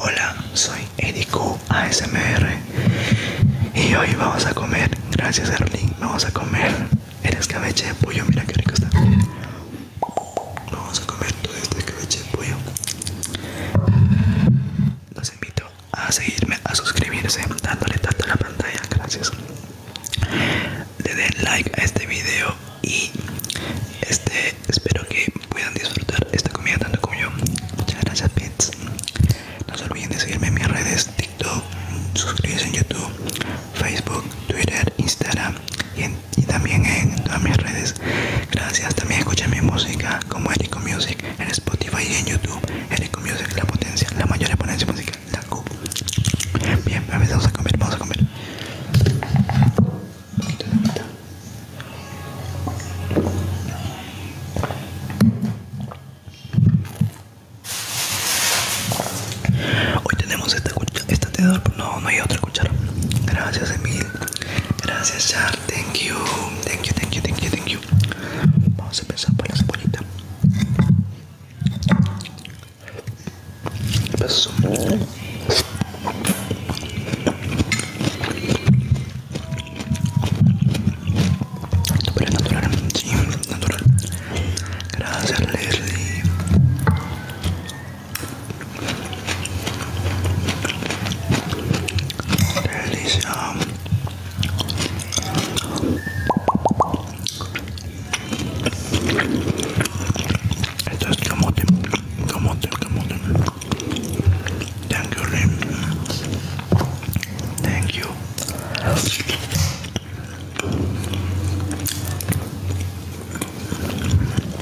Hola, soy Edico ASMR y hoy vamos a comer, gracias Erling, vamos a comer el escabeche de pollo, mira qué rico está. Vamos a comer todo este escabeche de pollo los invito a seguirme, a suscribirse, dándole tanto a la pantalla, gracias. Le den like a este video y este espero que puedan disfrutar esta comida tanto como yo. Muchas gracias, pets. No se olviden de seguirme en mis redes, TikTok, suscribirse en YouTube, Facebook, Twitter, Instagram y también en todas mis redes Gracias, también escuchen mi música como Eric Music en Spotify y en YouTube. Eric Music, la potencia, la mayor exponencia musical, la cubo. Bien, a ver, vamos a comer, vamos a comer. Un poquito de mitad. Hoy tenemos esta, cuchara, esta tenedor, no, no hay otra cuchara. Gracias Emil, Gracias, Char. Thank you. Thank you, thank you, thank you, thank you. Vamos a empezar por la cebollita. Natural, natural, sí, natural. Leslie. There is um esto es camote, camote, camote. Thank you, Lim. Thank you.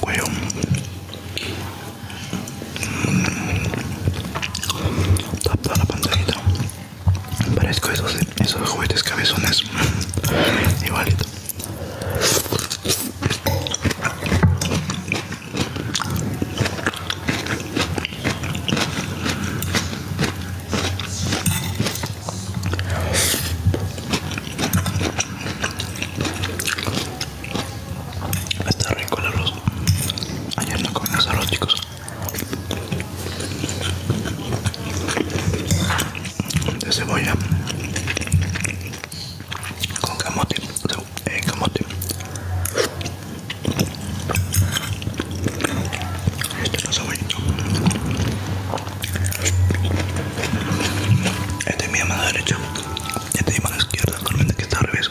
Cuello. Tapa la pantalita. Parezco esos, esos juguetes cabezones. Igualito. Está rico el arroz. Ayer no comimos arroz, chicos. De cebolla con camote, eh, Este no este es Este mi mano derecha. Este es mi mano izquierda, solamente que está al revés.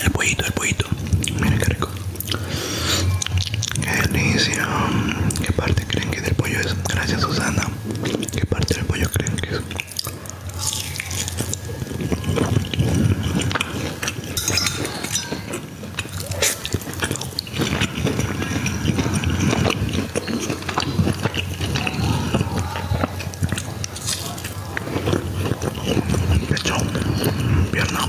El pollito, el pollito. Miren qué rico. Qué delicia. ¿Qué parte creen que del pollo es? Gracias, Susana. ¿Qué parte del pollo creen que es? pecho pierna.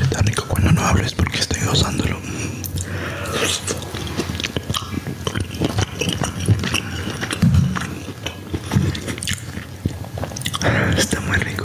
Está rico cuando no hables porque estoy gozándolo. Está muy rico.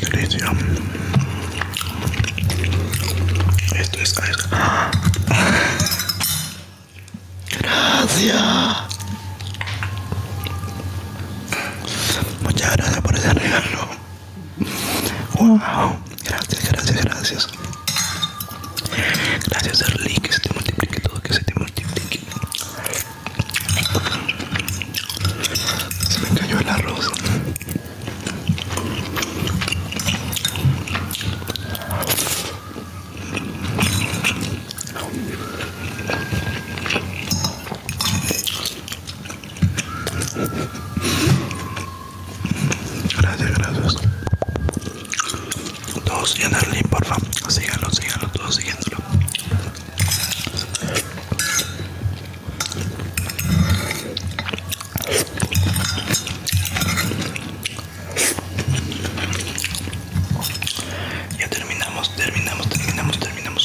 Delicia. Esto es Gracias. Muchas gracias por ese regalo. Wow. Gracias, gracias, gracias. Gracias Darly, que se te multiplique todo, que se te multiplique. Se me cayó el arroz. Gracias, gracias. Todos sigan a Erlin, porfa. Síganlo, síganlo, todos siguiéndolo. Ya terminamos, terminamos, terminamos, terminamos.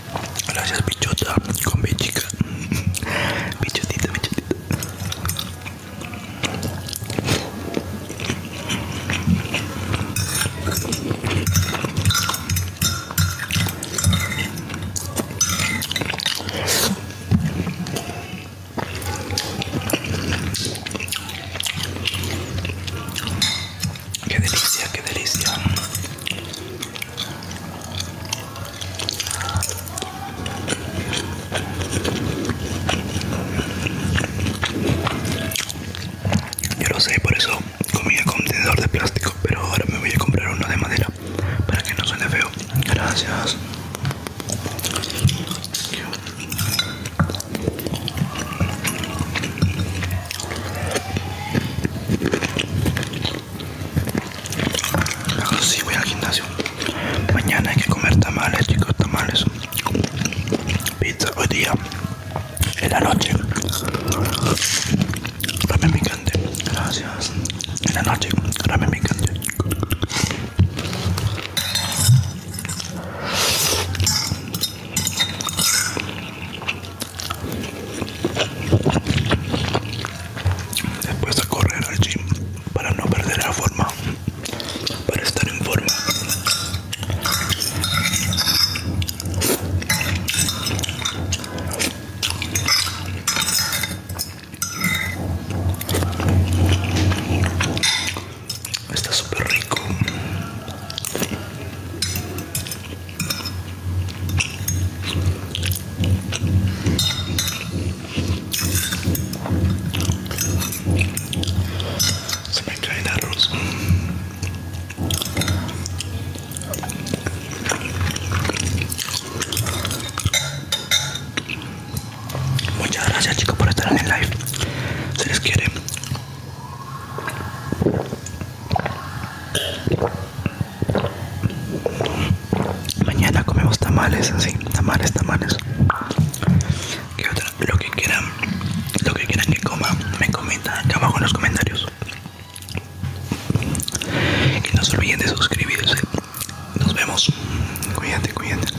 Gracias, bichota. Con mi chica. Bichotita, bichotita. Qué delicia, qué delicia. Yo lo sé, por eso comía con de plástico, pero ahora me voy a comprar uno de madera para que no suene feo. Gracias. Ahora sí voy al gimnasio. Mañana hay que comer tamales, chicos, tamales. Pizza hoy día. En la noche. Ramen picante. Gracias. En la noche. Ramen picante. Después a correr al gym para no perder la forma, para estar en forma. Está súper rico. Se me cae el arroz. Muchas gracias chicos por estar en el live. Se les quiere. Mañana comemos tamales, así, tamales, tamales. Lo que quieran, lo que quieran que coma, me comenta acá abajo en los comentarios. Y no se olviden de suscribirse. Nos vemos. Cuídate, cuídate.